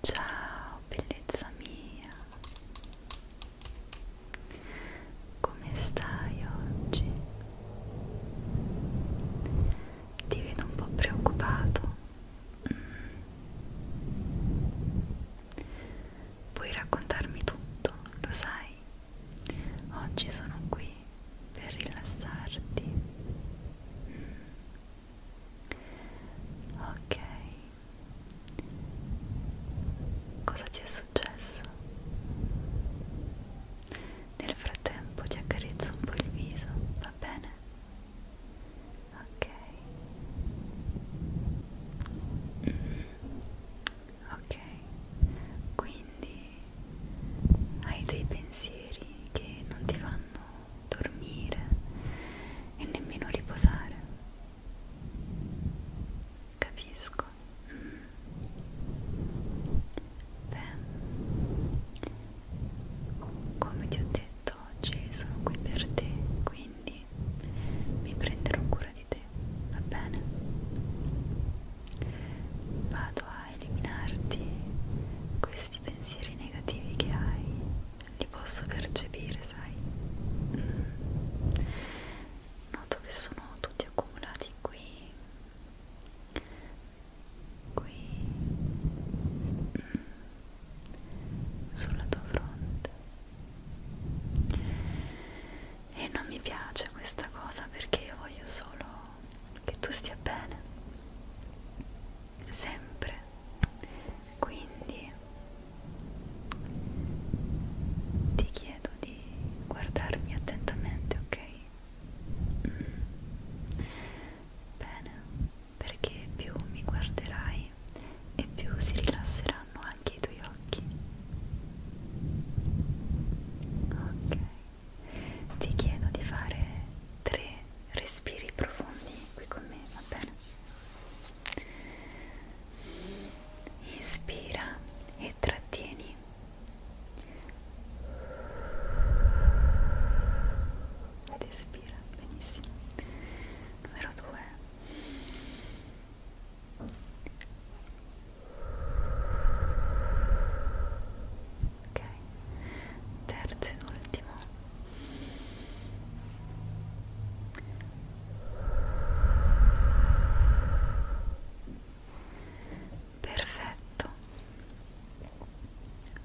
Ciao bellezza mia, come stai oggi? Ti vedo un po' preoccupato. Mm. Puoi raccontarmi tutto, lo sai? Oggi sono qui per rilassarti. Mm. Ok. Cosa ti è successo? Nel frattempo ti accarezzo un po' il viso, va bene? Ok. Mm ok quindi hai dei pensieri che non ti fanno dormire e nemmeno riposare capisco mm. beh come ti ho detto oggi sono qui per te quindi mi prenderò cura sopra di te, va bene? Vado a eliminarti questi pensieri negativi che hai, li posso percepire, sai? Mm. Noto che sono tutti accumulati qui, qui, mm. sulla tua fronte e non mi piace questa cosa perché io voglio solo che tu stia bene sempre quindi ti chiedo di guardarmi attentamente ok mm. bene perché più mi guarderai e più si rilasseranno anche i tuoi occhi ok ti chiedo di fare tre respiri profondi qui con me va bene inspira e trattieni ed espira benissimo numero 2 ok terzo e ultimo perfetto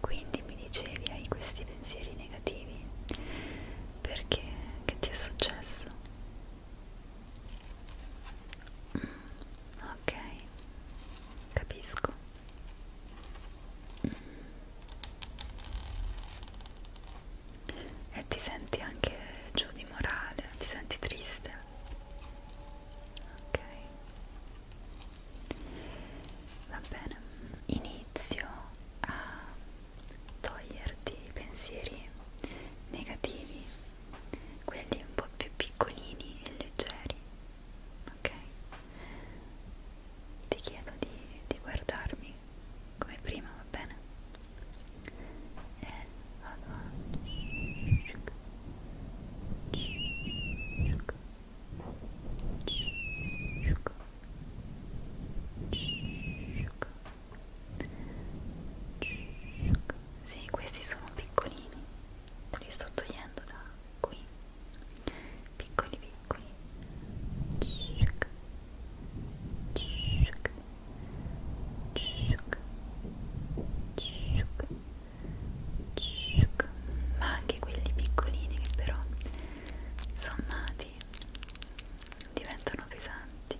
quindi mi dicevi hai questi pensieri negativi perché che ti è successo ok capisco e ti senti anche giù di morale ti senti triste ok va bene inizio a toglierti i pensieri negativi, quelli un po' più piccolini e leggeri, ok? Ti chiedo di, di guardarmi come prima, va bene? E vado a... Sciuc. Sciuc. Sì, questi sono piccolini, li sto togliendo da qui. Piccoli piccoli. Ma anche quelli piccolini che però sommati diventano pesanti.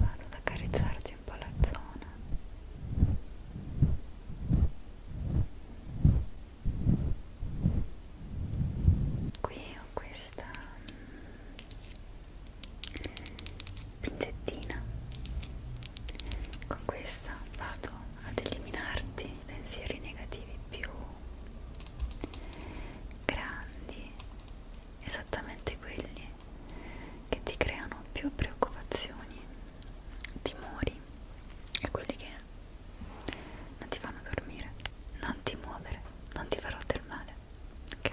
vado ad accarezzarti un po' la zona qui ho questa mm, pinzettina con questa vado ad eliminarti i pensieri negativi più grandi esattamente quelli che ti creano più preoccupazioni, timori e quelli che non ti fanno dormire, non ti muovere, non ti farò del male, ok?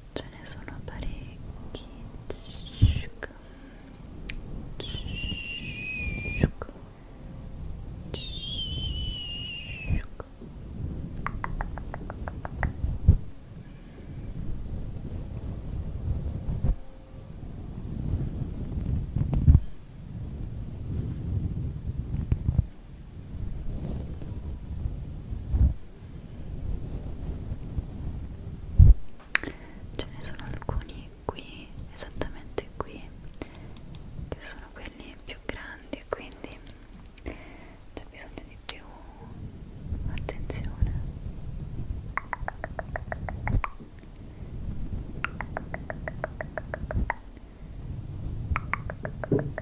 ce ne sono parecchi Tic, ce ne sono alcuni qui esattamente qui che sono quelli più grandi quindi c'è bisogno di più attenzione ok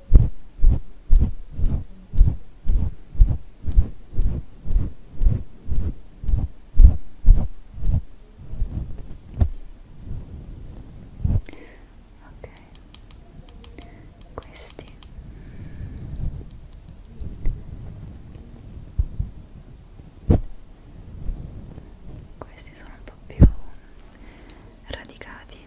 Ok, questi questi sono un po' più radicati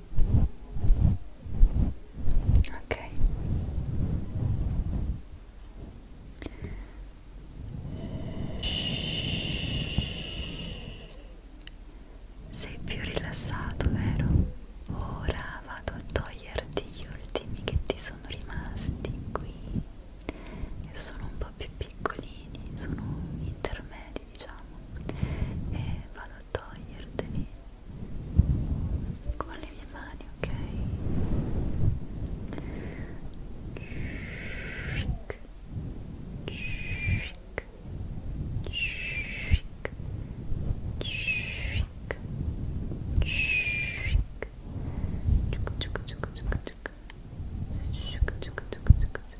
ok sei più rilassato vero? ora vado a toglierti gli ultimi che ti sono rimasti qui che sono un po' più piccolini sono intermedi delicati diciamo e vado a toglierteli con le mie mani ok Shik. Shik. Shik. Shik. Shik. Chuc, chuc, chuc, chuc, chuc. Chuc, chuc, chuc, chuc,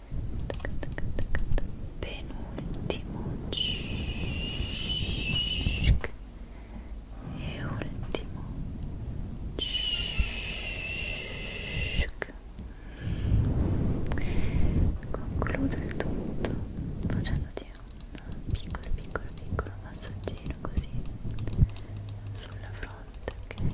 penultimo e ultimo concludo il tutto facendoti un piccolo piccolo piccolo massaggino così sulla fronte ok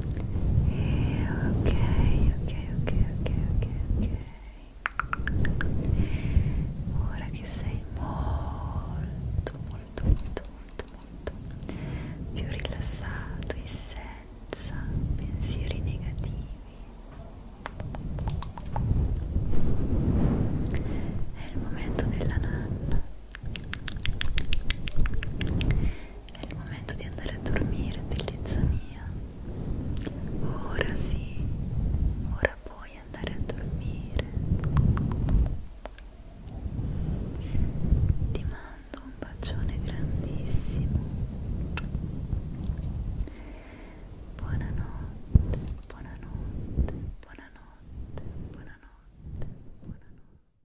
E ok, ok, ok, ok, ok, ok. Ora che sei molto, molto, molto, molto, molto più rilassato e senza pensieri negativi. È il momento della nanna è il momento di andare a dormire, bellezza mia. Ora sì, ora puoi andare a dormire. Ti mando un bacione grandissimo. Buonanotte, buonanotte, buonanotte, buonanotte, buonanotte.